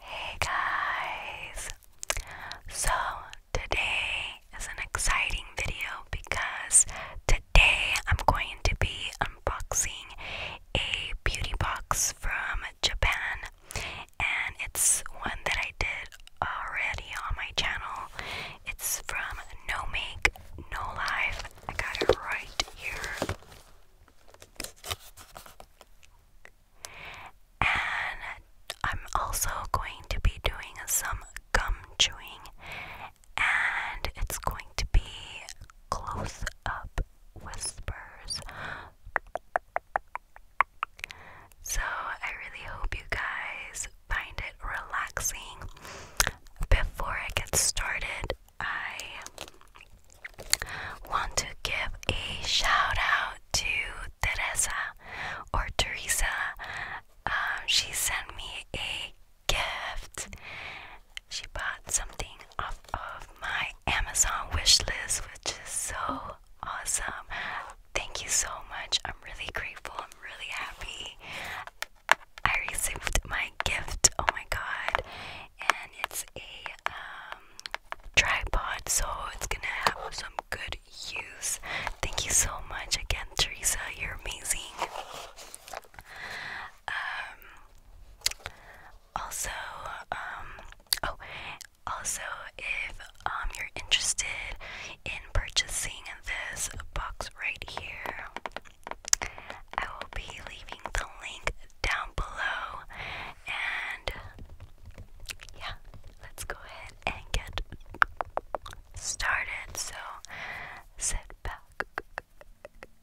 Hey guys! So today is an exciting video because today today I'm going to be unboxing a beauty box from Japan, and it's one that I did already on my channel. It's from No Make, No Life. I got it right here. And I'm also going to be doing some gum chewing and it's going to be close up whispers. So, I really hope you guys find it relaxing. Before I get started, I want to give a shout out to Teresa or Teresa. Um, she sent me a gift. She bought something off of my Amazon wish list, which is so awesome. Thank you so much. I'm really grateful. I'm really happy. I received my gift. Oh my god. And it's a um tripod, so it's gonna have some good use. Thank you so much again, Teresa. You're amazing. Um, also, um, oh, also, if um you're interested in purchasing this box right here, I will be leaving the link down below, and yeah, let's go ahead and get started. So, sit back.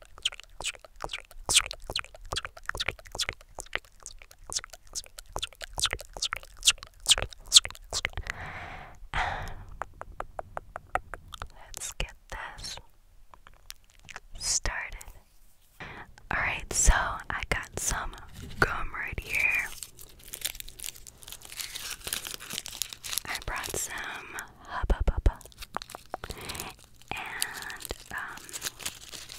Let's get this started. Alright, so I got some gum right here. I brought some hubba bubba and um,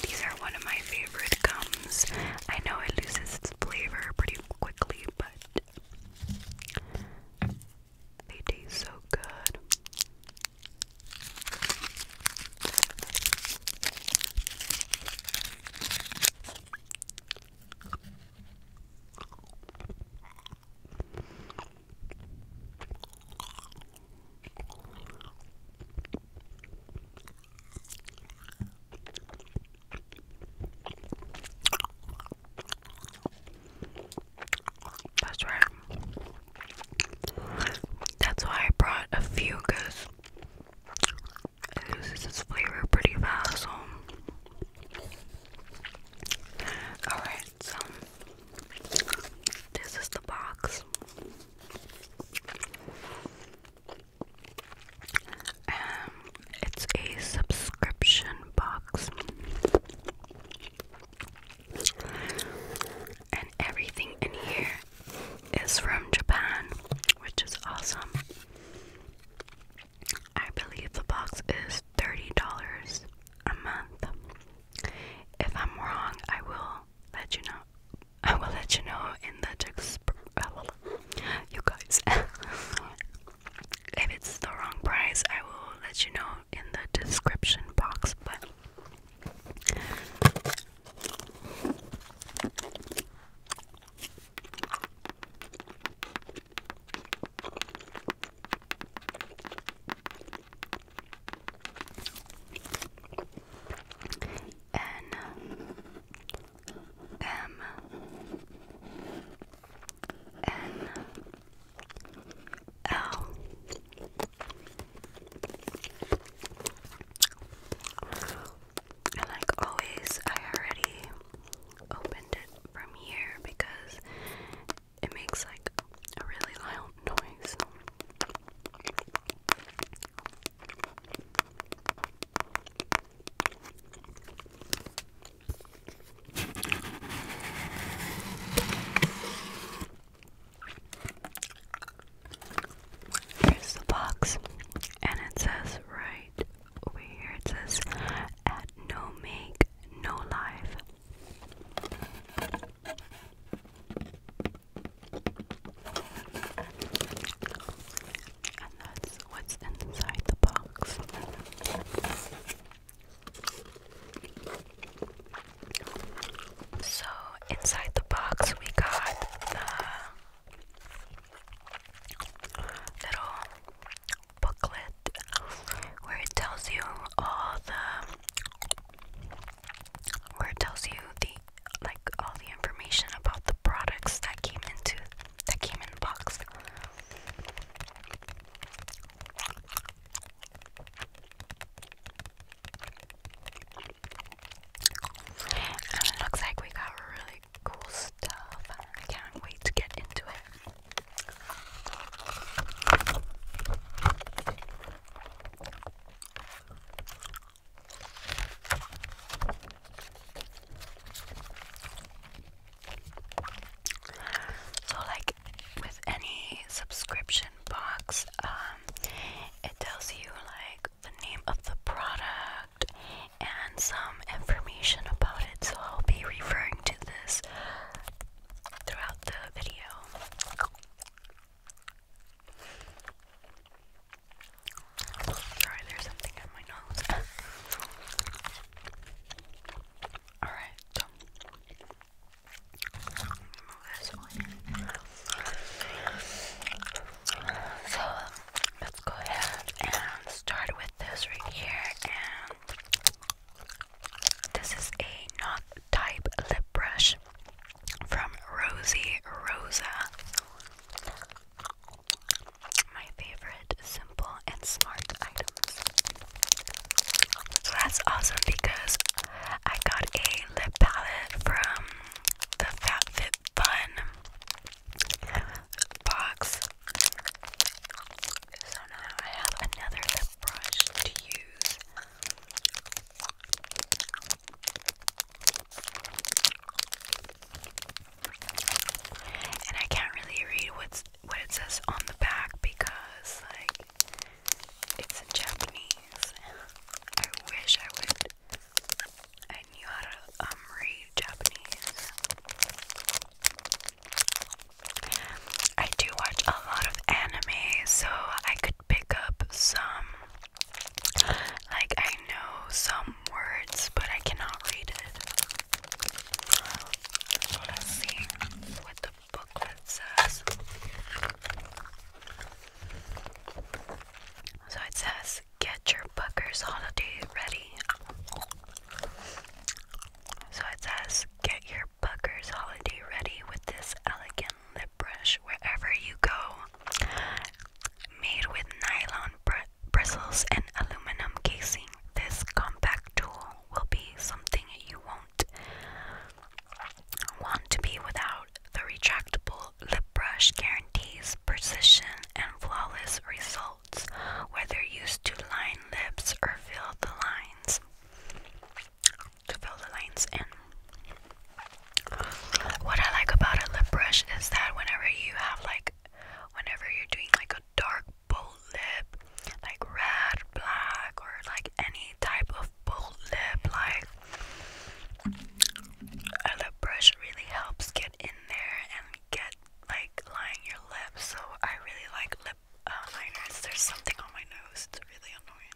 these are one of my favorite gums. I know it loses its flavor pretty quickly, but they taste so good. That's right. That's why I brought a few because flavor pretty fast. So. Alright, so this is the box. Um, it's a subscription box, and everything in here is from Japan, which is awesome. I believe the box is $30 a month. If I'm wrong, I will let you know. I will let you know in the text. You guys, if it's the wrong price, I will let you know in the description box. But N M N L and like always I already opened it from here because it makes like a really loud noise. Here's the box, and it says right over here it says, At no make, no life, and what's inside the box. So, inside the box, we got the little booklet where it tells you all the where it tells you the like all the information about the products that came into that came in box. And it looks like we got really cool stuff. I can't wait to get into it. So, like with any subscription box, um, it tells you like the name of the product and some information about it. So, I'll be referring to this throughout the video. Sorry, there's something in my nose. Alright, so So let's go ahead and start with this right here and this is a not type lip brush from Rosie Rosa. My favorite simple and smart items. So that's awesome because I got a lip palette from the FatFitFun box. So now I have another lip brush to use. And I can't really read what's what it says on the back because like it's in Japanese. I wish I would I knew how to um, read Japanese. I do watch a lot of anime, so I pick up some like I know some words but I cannot read it. Let's see what the booklet says. So it says get your Booker's holiday ready. So it says get your Booker's holiday ready with this elegant lip brush wherever you go. Made with nylon bristles and aluminum casing, this compact tool will be something you won't want to be without. The retractable lip brush guarantees precision and flawless results, whether used to line lips or fill the lines to fill the lines in. What I like about a lip brush is that whenever you have like, whenever you're doing like a dark bold lip, like red, black, or like any type of bold lip, like a lip brush really helps get in there and get like lining your lips. So I really like lip uh, liners. There's something on my nose. It's really annoying.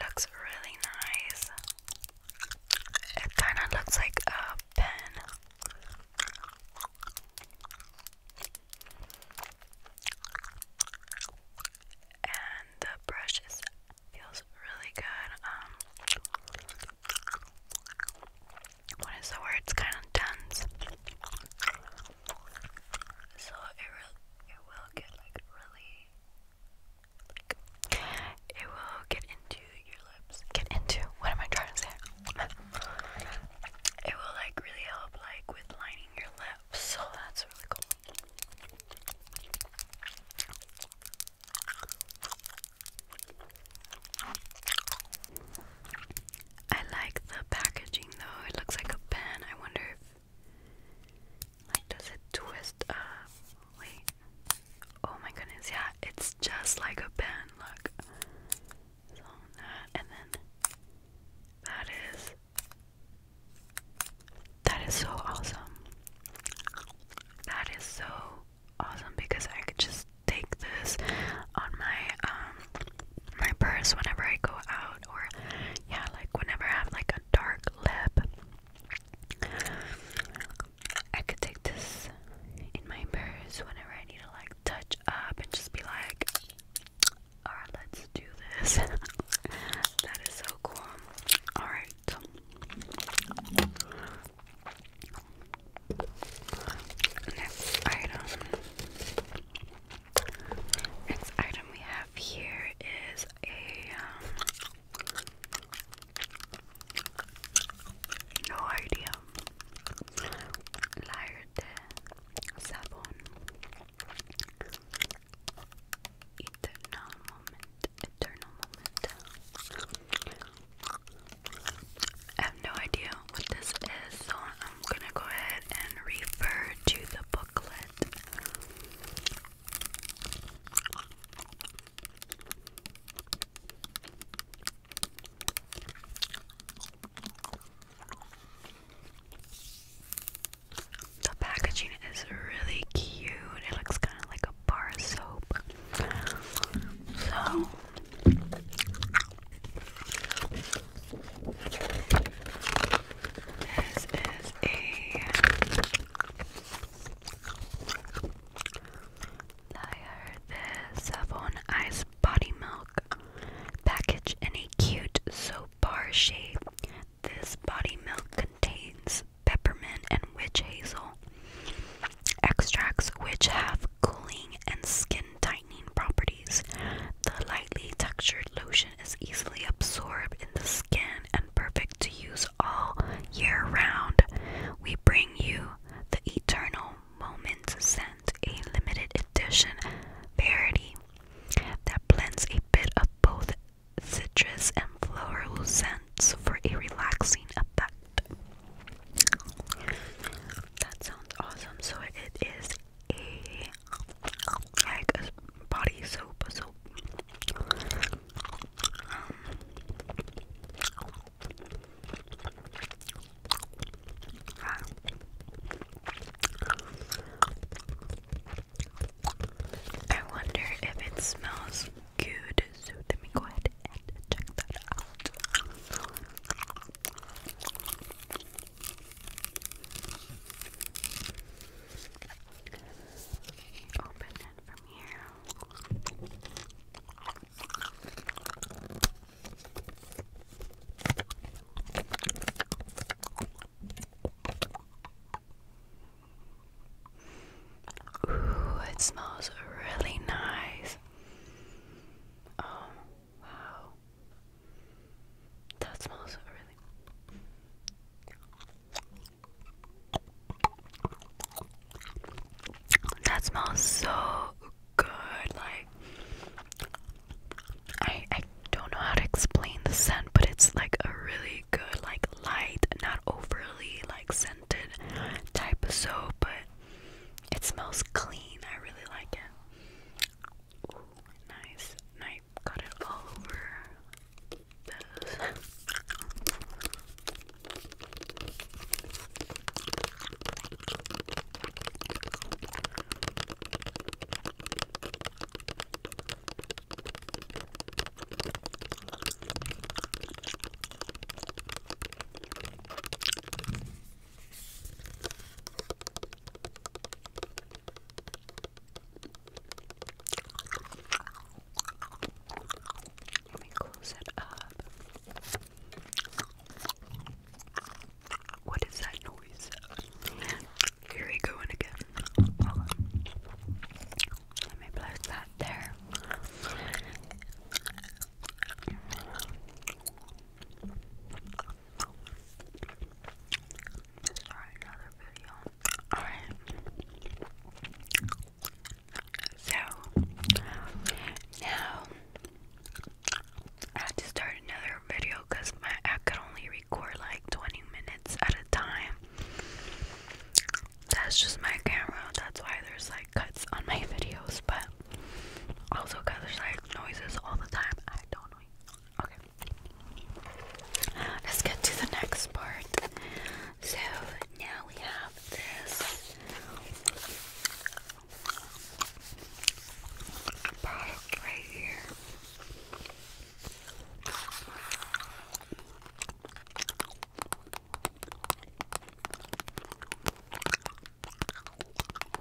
Looks really nice. It kind of looks like a pen. And the brush is, feels really good. Um, what is the word? It's kind of dense. So it it will get like really, it will get into your lips. Get into? What am I trying to say? it will like really help like with lining your lips. So that's really cool. I like the packaging though. It looks like a pen. I wonder if like does it twist up? Wait. Oh my goodness, yeah, it's just like a pen, look. So that and then that is that is so awesome. That is so awesome because I could just take this on my um my purse whenever I go out or yeah like whenever I have like a dark lip I could take this in my purse whenever I need to like touch up and just be like alright let's do this that is so cool alright Next item. Next item we have here is a um, no idea. Lairte sabon. Eternal moment. Eternal moment. I have no idea what this is, so I'm gonna go ahead and refer to the booklet. The packaging is really cute. It looks kind of like a bar soap. So this is a liar. This Savon Ice Body Milk package in a cute soap bar shape. This body milk contains peppermint and witch hazel extracts, which have cooling and skin tightening properties. The lightly textured lotion is easily absorbed in the skin and perfect to use all year round. We bring you the Eternal Moment scent, a limited edition parody that blends a bit of both citrus and floral scents for a relaxing effect. That sounds awesome. So it is a body soap, soap. Um, I wonder if it smells good. So let me go ahead and check that out. Open it Ooh, it smells really nice. Um, Wow. That smells really. That smells so good. Like I I don't know how to explain the scent, but it's like a really good, like light, not overly like scented type of soap, but it smells clean. I really like it. nice. And got it all over let me close it up. What is that noise? Here we go again. Let me place that there. Sorry, another video. Alright. So, now I had to start another video because my I could only record like 20 minutes at a time. That's just my camera. That's why there's like cuts on my videos, but also because there's like noises all the time. I don't know. Okay. Let's get to the next part. So now we have this product right here.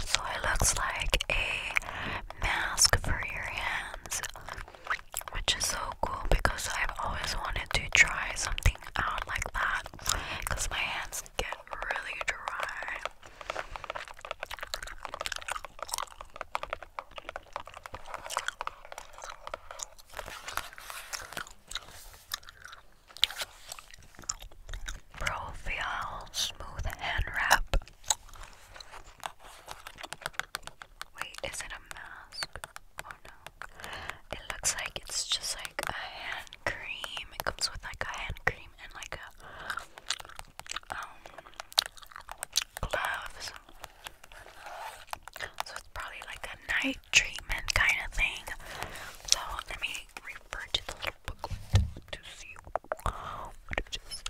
So it looks like a mask for your hands, which is so cool because I've always wanted to try something out like that because my hands get really dry. Profile Smooth Hand Wrap. Wait, is it a mask? Oh no. It looks like it's just like a hand cream. It comes with like a hand cream and like um, gloves. So it's probably like a night treatment kind of thing. So let me refer to the little booklet to see what it is.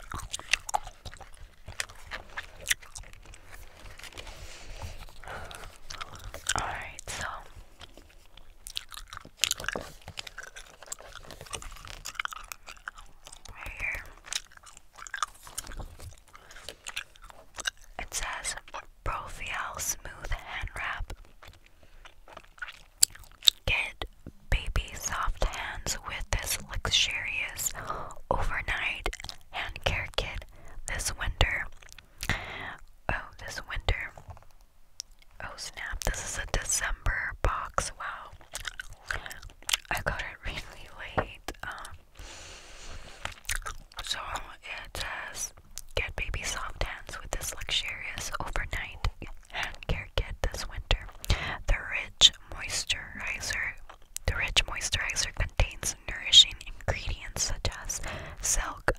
Alright, so here. It says Profial Smooth Hand Wrap. Get baby soft hands with this luxurious overnight hand care kit this winter. Oh, this winter. Oh snap, this is a December box. Wow. I got it really late. Um, so it says get baby soft hands with this luxurious overnight hand care kit this winter. The rich moisturizer the rich moisturizer contains nourishing ingredients such as silk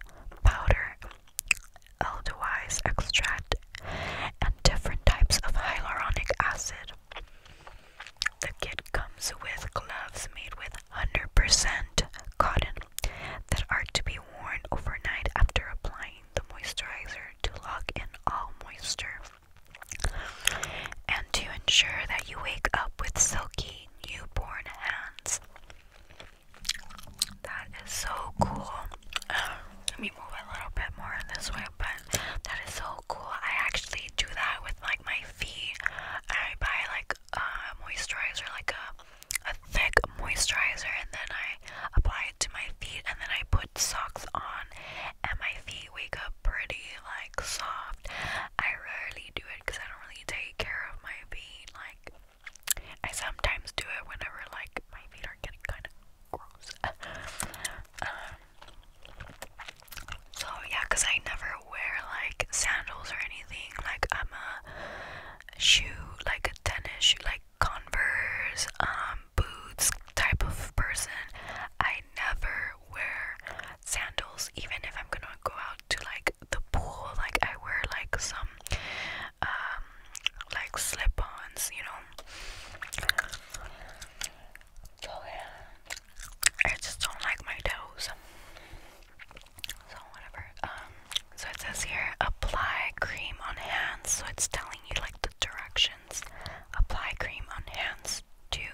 powder, elderwise extract, and different types of hyaluronic acid. The kit comes with gloves made with 100% cotton that are to be worn overnight after applying the moisturizer to lock in all moisture and to ensure that you wake up with silky newborn hands. That is so cool. let me move a little bit more this way, but that is so cool. I actually do that with like my feet. I buy like uh, moisturizer, like a, a thick moisturizer, and then I apply it to my feet, and then I put socks on, and my feet wake up pretty, like, soft. I rarely do it because I don't really take care of my feet. Like, I sometimes do it whenever, like, my feet are getting kind of gross. Um, so yeah, cause I never wear like sandals or anything. Like I'm a shoe, like a tennis shoe, like Converse, um, boots type of person. I never wear sandals, even if I'm gonna go out to like the pool. Like I wear like some, um, like slip-ons, you know. So yeah, I just don't like my toes. So whatever. Um, so it says here apply cream on hands. So it's telling you like the directions. Apply cream on hands. Two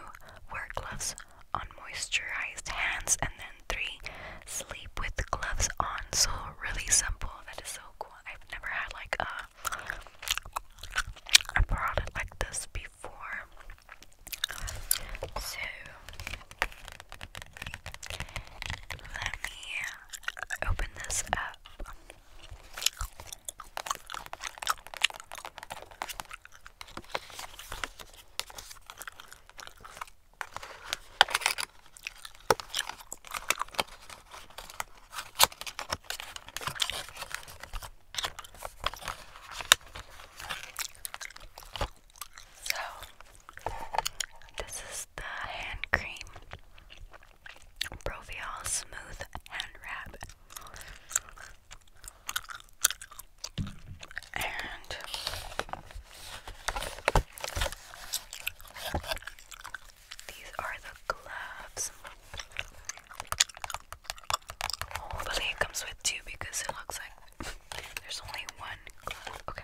wear gloves on moisturized hands and then three sleep with gloves on. So really simple. That is so cool. I've never had like a a product like this before. So let me open this up. So, this is the hand cream Proviol Smooth Hand Wrap. And these are the gloves. Hopefully, it comes with two because it looks like there's only one glove. Okay.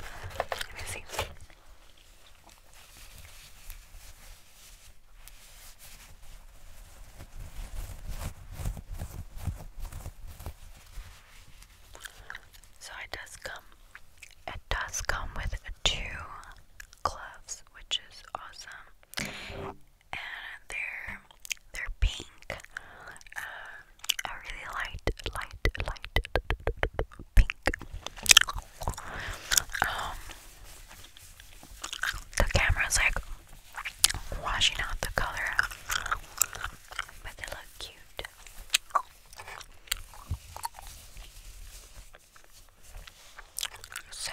Let me see. So it does come it does come with two gloves, which is awesome. And they're they're pink. a uh, really light, light, light pink. Um, the camera's like washing out the color, but they look cute. So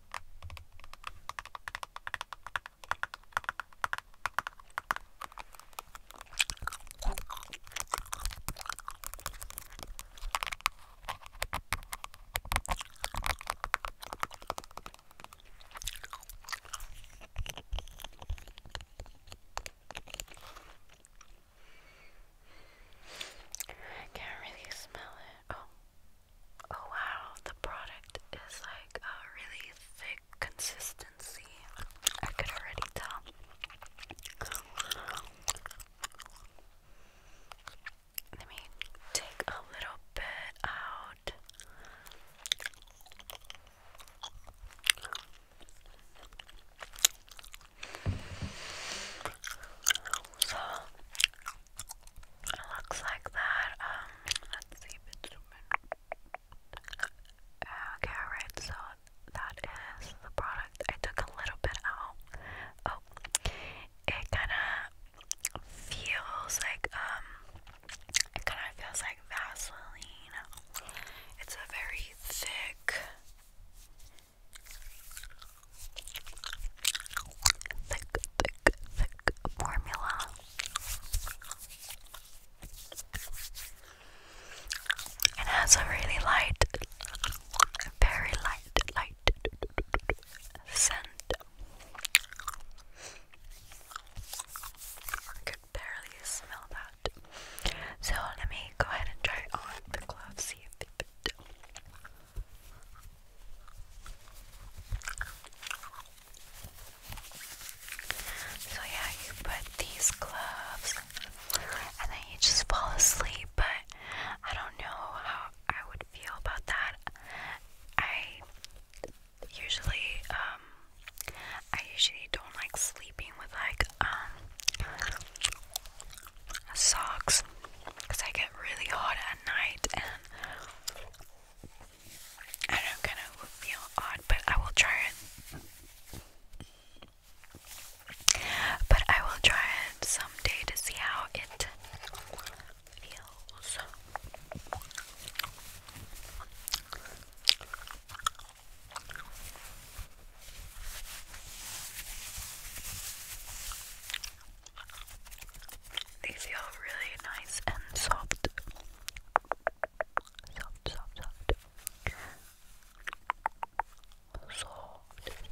I can't really smell it. Oh, Oh wow, the product is like a really thick consistency. I could already tell. Let me take a little bit out. So looks like that. Um, let's see if it's Okay, alright, so that is the product. I took a little bit out. Oh, it kind of feels like, um, it kind of feels like Vaseline. It's a very thick thick, thick, thick formula. It has a really light, very light, light scent. I could barely smell that. So let me go ahead and try it on the gloves, see if it so, yeah, you put these gloves and then you just fall asleep, but I don't know how I would feel about that. I usually, um, I usually don't like sleeping with like, um, socks because I get really hot at night and I know, kind of would feel odd, but I will try it. But I will try it someday to see how it feels. They feel really nice and soft. Soft, soft, soft. Soft, soft,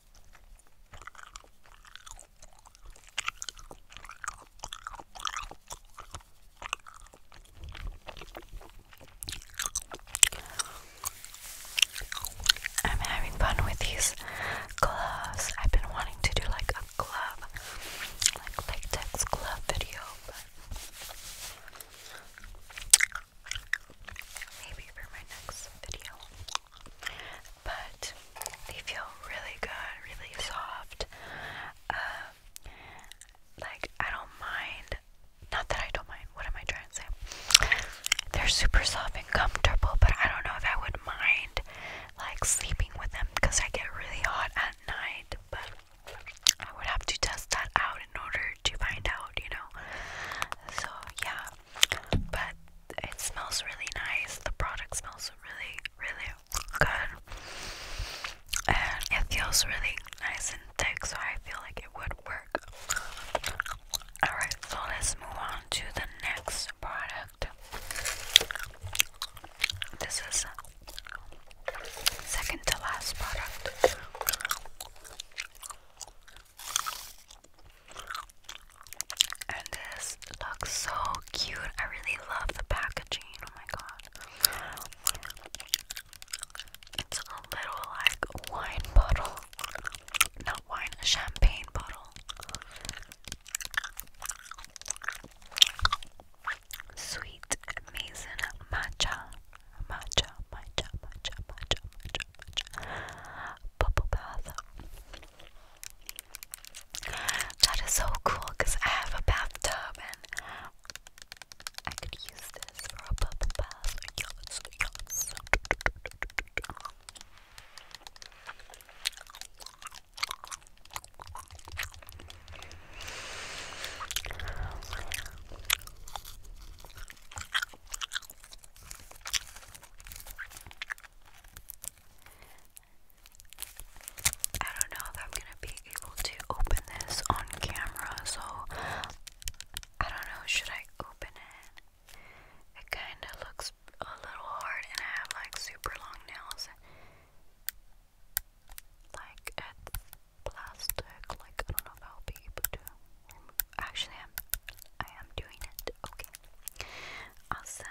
I'm having fun with these gloves. I've been wanting to do like a glove, like latex glove video, maybe for my next video but they feel really good, really soft. Um, like I don't mind. Not that I don't mind. What am I trying to say? They're super soft and comfortable, but I don't know if I would mind like sleeping with them because I get really hot at night. But I would have to test that out in order to find out, you know. So yeah, but it smells really nice. The product smells really, really good, and it feels really nice and thick, so I feel like it would work. Alright, so let's move on to the next product. This is second to last product. And this looks so cute. I really love the packaging. Oh my god. It's a little like wine bottle. Not wine, a champagne bottle. Sweet amazing matcha. Matcha, matcha, matcha, matcha, matcha, matcha. Bubble bath. That is so cool because I have a bathtub and I could use this for a bubble bath. I don't know if I'm gonna be able to open this on camera, so I don't know. Should I open it? It kind of looks a little hard, and I have like super long nails. Like it's plastic. Like I don't know if I'll be able to. Actually, I'm. I am doing it. Okay. Awesome.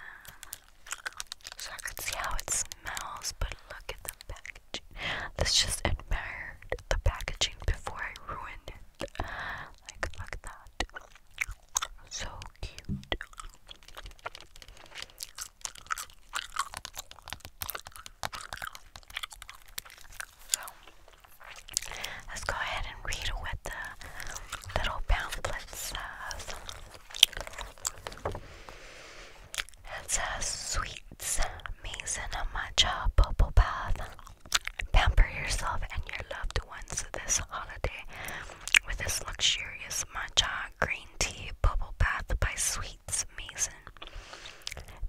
So I can see how it smells, but look at the packaging. Let's just admire the packaging before I ruin it. Like, that. So cute. So, let's go ahead and read what the little pamphlets says. It a sweets, Mason matcha bubble bath. Pamper yourself and your loved ones this holiday with this luxurious matcha green tea bubble bath by Sweets Mason.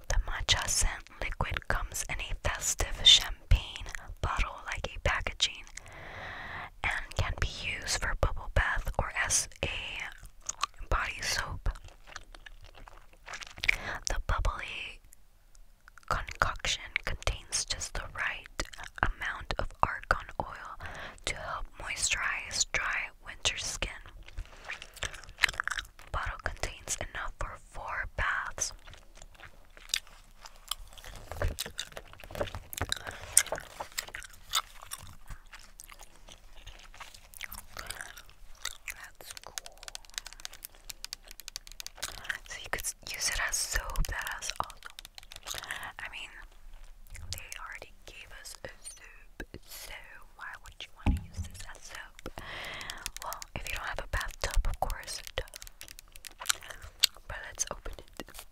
The matcha scent liquid comes in a festive champagne bottle like a packaging and can be used for bubble bath or as a body soap. The bubbly concoction contains just the right amount of argan oil to help moisturize dry winter skin. Bottle contains enough for four baths. That's cool. So you could use it as soap. That is awesome. I mean, they already gave us a soap, so why would you want to use this as soap? Well, if you don't have a bathtub, of course. But let's open it.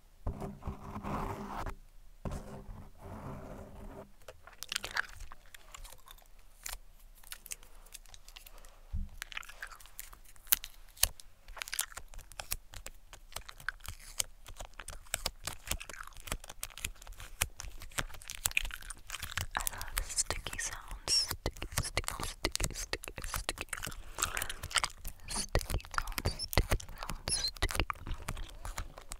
I love sticky sounds. Sticky, sticky, sticky, sticky, sticky. Sticky sounds, sticky sounds, sticky.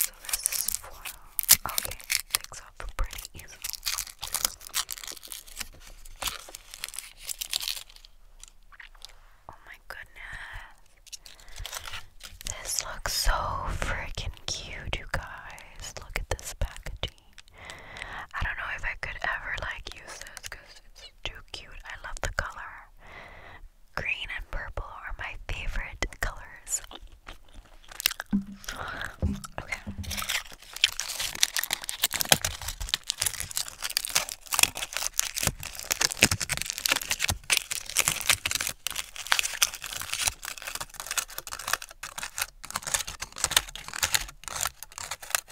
So this is foil. Okay, takes off pretty easily. Oh my goodness. This looks so freaking cute, you guys. Look at this packaging. I don't know if I could ever like use this because it's too cute. I love the color. Green and purple are my favorite colors. Okay.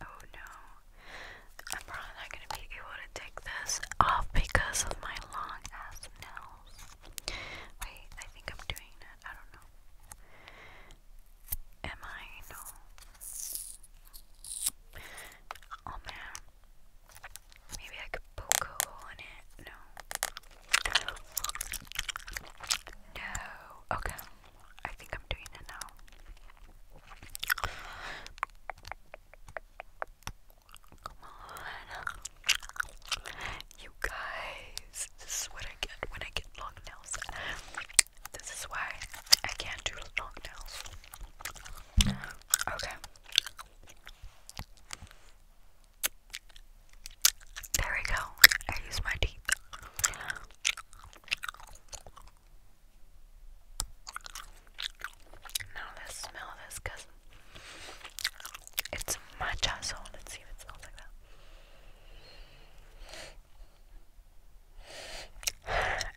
Oh no, I'm probably not going to be able to take this off because of my long ass nails. Wait, I think I'm doing it. I don't know. Am I? Oh man. Maybe I could poke a hole in it. No. No. Okay. I think I'm doing it now. Come on. You guys. This is what I get when I get long nails. This is why I can't do long nails. Okay. There we go. I use my teeth. Now let smell this it's matcha, so let's see if it smells like that.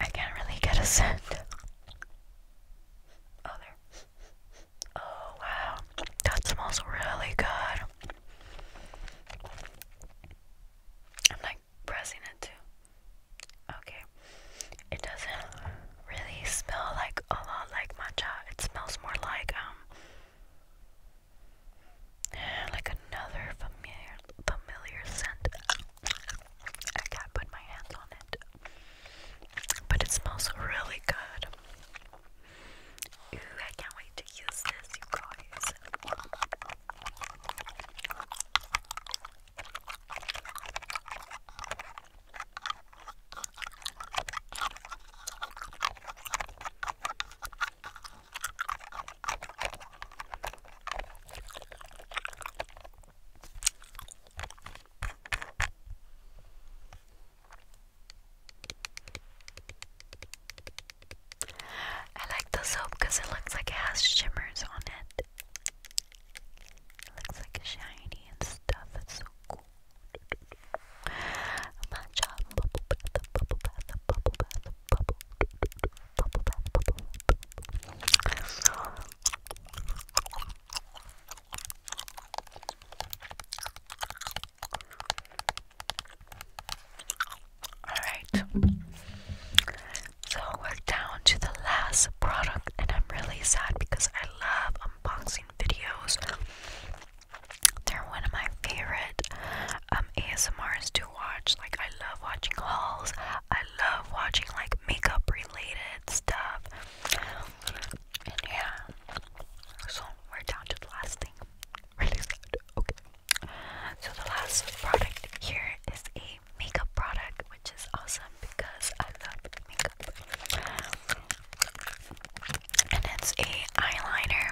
I can't really get a scent. Oh, there. Oh, wow. That smells really good. I'm like pressing it too. Okay. It doesn't really smell like a lot like matcha. It smells more like, um, eh, like another familiar, familiar scent. I can't put my hands on it. But it smells really good. Ooh, I can't wait to use this, you guys. I like the soap because it looks like it has shimmers on it. It looks like it's shiny and stuff. It's so cool. Matcha bubble Alright, so we're down to the last product, and I'm really sad because I love unboxing videos. They're one of my favorite um, ASMRs to watch. Like, I love watching hauls, I love watching like makeup related stuff. yeah, so we're down to the last thing. Really sad. Okay. So the last product here is a makeup product, which is awesome because I love makeup. And it's a eyeliner.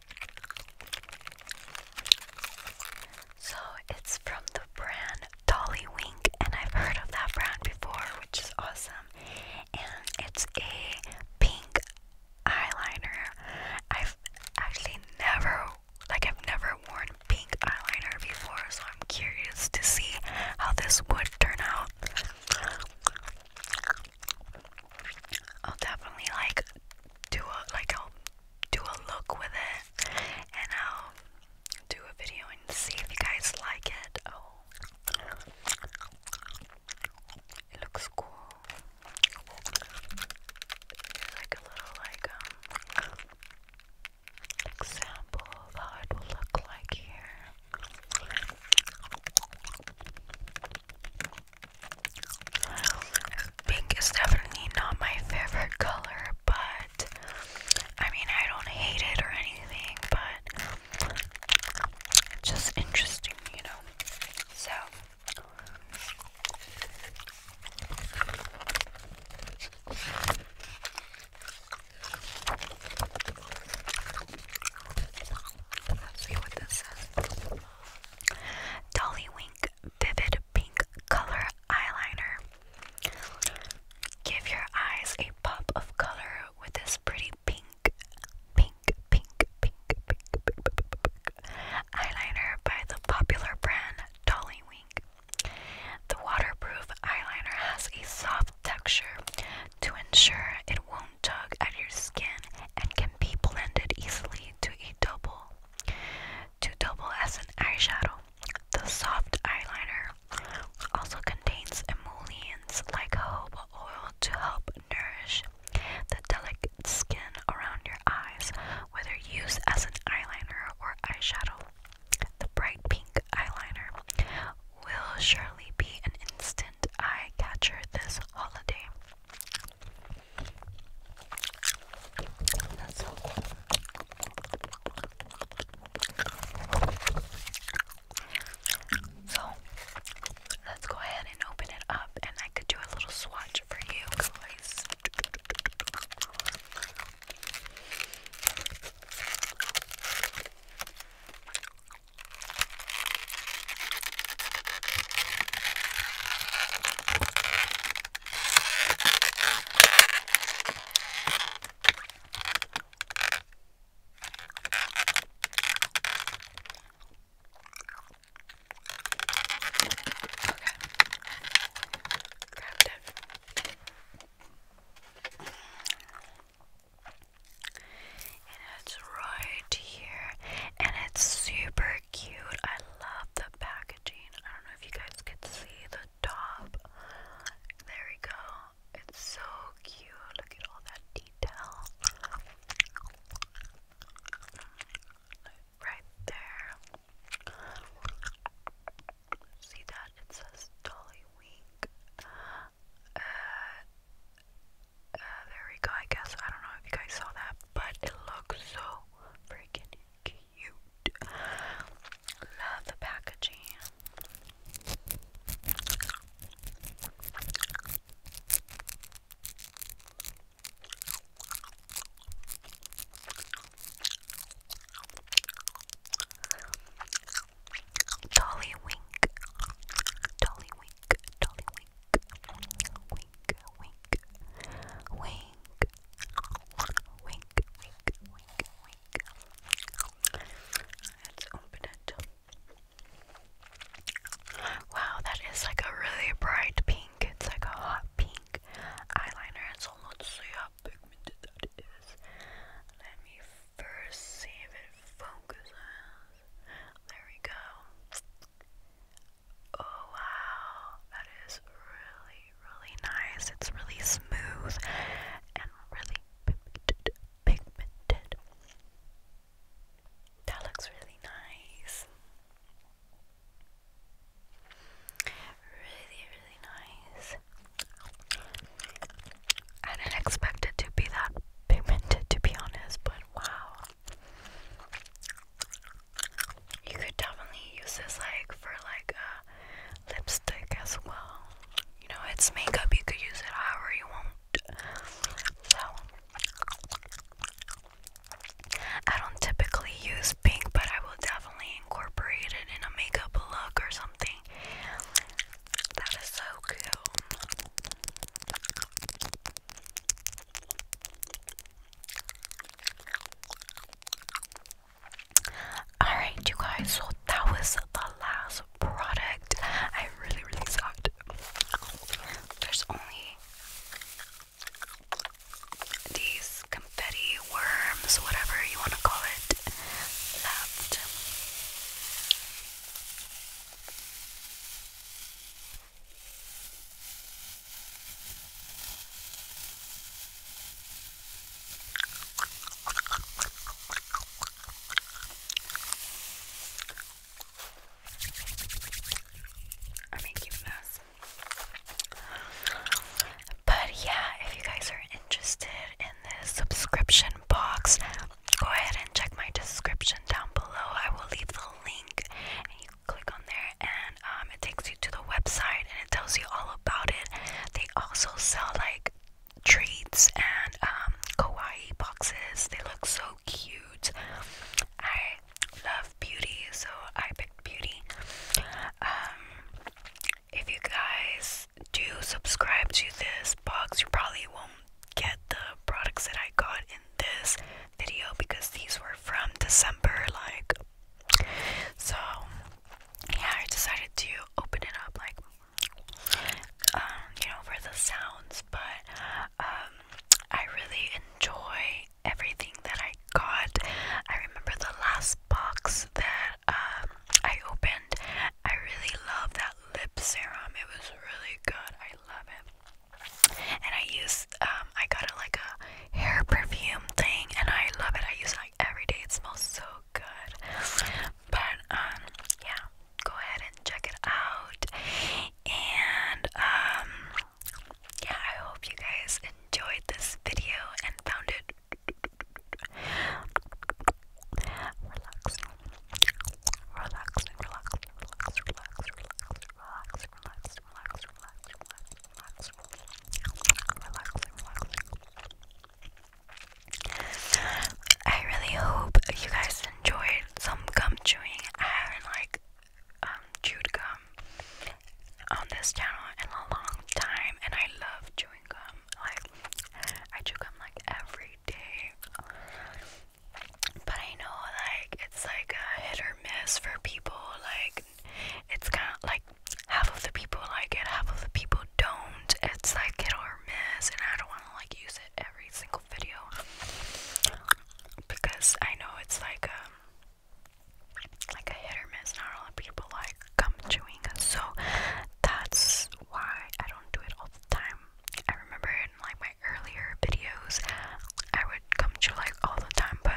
So it's from the brand Dolly Wink, and I've heard of that brand before, which is awesome. And it's a pink eyeliner. I've actually never, like, I've never worn pink eyeliner before, so I'm curious to see how this would turn out. I'll definitely like do a like i do a look with it and I'll do a video and see if you guys like it. Oh, it looks cool. It's like a little like um, example of how it will look like here. Pink is definitely not my favorite color, but I mean, I don't hate it or anything, but just interesting, you know. So, let's see what this is. Dolly Vivid pink color eyeliner. Give your eyes a pop of color with this pretty pink, pink, pink, pink, pink, eyeliner by the popular brand Dolly Wink. The waterproof eyeliner has a soft texture to ensure it won't tug at your skin and can be blended easily to a double to double as an eyeshadow. The soft eyeliner also contains emollients like hobo oil to help nourish the delicate skin around your eyes, whether used as an eyeliner or eyeshadow. The bright pink eyeliner will surely be an instant eye catcher this holiday. That's So let's go ahead and open it up, and I could do a little swatch for you guys. Grabbed it. And it's right here, and it's super cute. I love the packaging. I don't know if you guys could see the top. There we go. It's so cute. Look at all that detail. Right there. See that? It says Dolly Wink. Uh, uh, there we go. I guess I don't know if you guys saw that, but it looks so freaking cute cute. Love the packaging. Dolly wink, dolly wink, dolly wink, wink, wink, wink, Wink, wink, wink, wink. Let's open it. Wow, that is like a really bright pink. It's like a hot pink eyeliner. And so let's see how pigmented that is. Let me first see if it focuses. There we go. Oh wow, that is really, really nice. It's really smooth and really pigmented. That looks really nice. Really, really nice. I didn't expect it to be that pigmented, to be honest, but wow. You could definitely use this like for like a uh, lipstick as well. You know, it's makeup, you could use it however you want. So I don't typically use pink, but I will definitely incorporate it in a makeup look or something. That is so cool. Alright, you guys, so that was the last product. I really, really sucked. There's only these confetti worms, whatever you want to call it, left. I'm making a mess. But yeah, if you guys are interested in this subscription box, go ahead and check my description down below. I will leave the link click on there and um, it takes you to the website and it tells you all about it. They also sell like treats and um, kawaii boxes. They look so cute. I love beauty, so I picked beauty. Um, if you guys do subscribe to this box, you probably won't get the products that I got in this video because these were from December, like so yeah, I decided to open it up like um, you know, for the sounds, but um, I really enjoy everything that I got. I remember the last box that um, I opened. I really love that lip serum. It was really good. I love it. And I use I got a, like a hair perfume thing, and I love it. I use it like every day. It smells so good. But um, yeah, go ahead and check it out. And yeah, I hope you guys enjoyed this video and found it relax, relax, relax, relax, relax, relax, relax, relax, relax, relax, I really hope you guys enjoyed some gum chewing. I haven't like um, chewed gum on this channel in a long time, and I love chewing gum. Like I chew gum like every day. But I know like it's like a hit or miss for people. Like it's kind of like half of the people like it, half of the people don't. It's like hit or miss, and I don't want to like use it every single video because I know it's like um like a hit or miss. Not a lot of people like gum chewing, so that's why I don't do it all the time. I remember in like my earlier videos, I would come chew like all the time, but